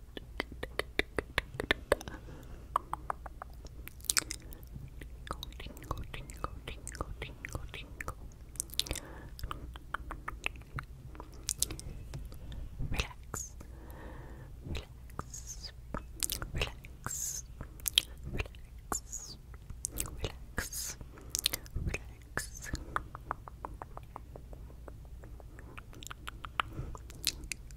Tingle, tingle, tingle, tingle, tingle. Relax. Relax. Relax. Relax. Relax. Relax.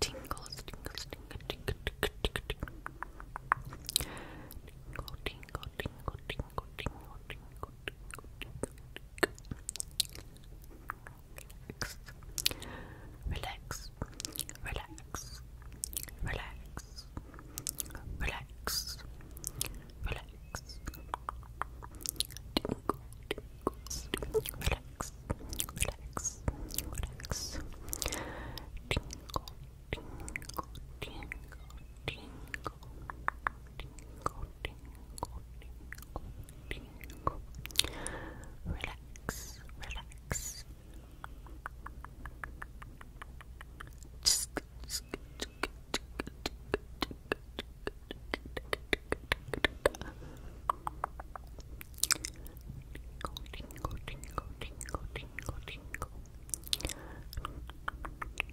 Tingles, tingles, tingles, tingle, tingle, tingle, tingle, tingle, tingle, tingle, tingle, tingle, tingle, tingle, tingle, Relax, relax, relax, relax, relax, relax, relax, relax, tingle, tingle, tingle, tingle, tingle, tingle, tingle, tingle. Relax, relax. Tingle, tingle, tingle, tingle, tingle, tingle.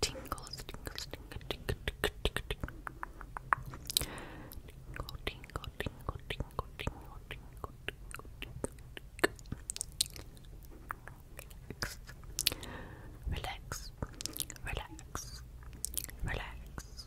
Tingles, tingles, tingles, tingle, tingle, tingle, tingle, tingle, tingle, tingle, tingle, tingle, tingle, tingle, tingle, relax, relax, relax, relax,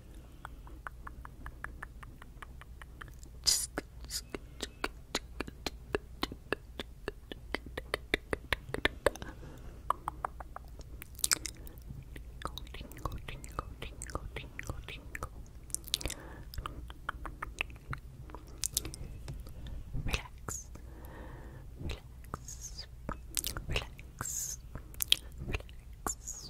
Tingle, tingle, tingle, tingle, tingle. Relax, relax, relax, relax,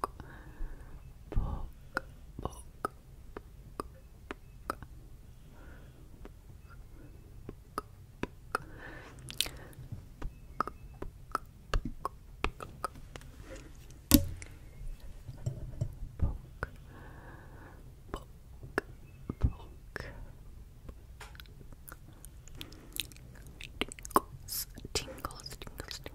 poke, poke, Tingles, tingles, tingles, tingles,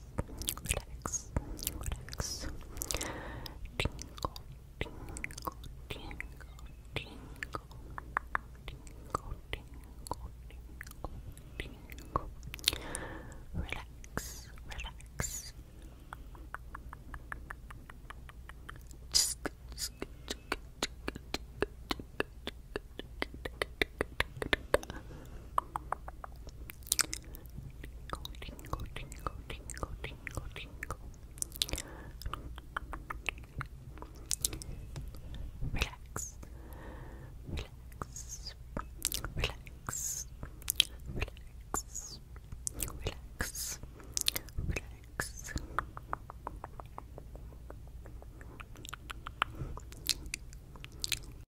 relax, relax. Tingle, tingle, tingle, tingle, tingle, tingle, tingle, Relax, relax. Relax, relax, relax, relax, relax, relax, relax, relax, relax, relax, relax, relax, Tingle, tingle, tingle, tingle, tingle. Relax, relax, relax, relax, relax, relax.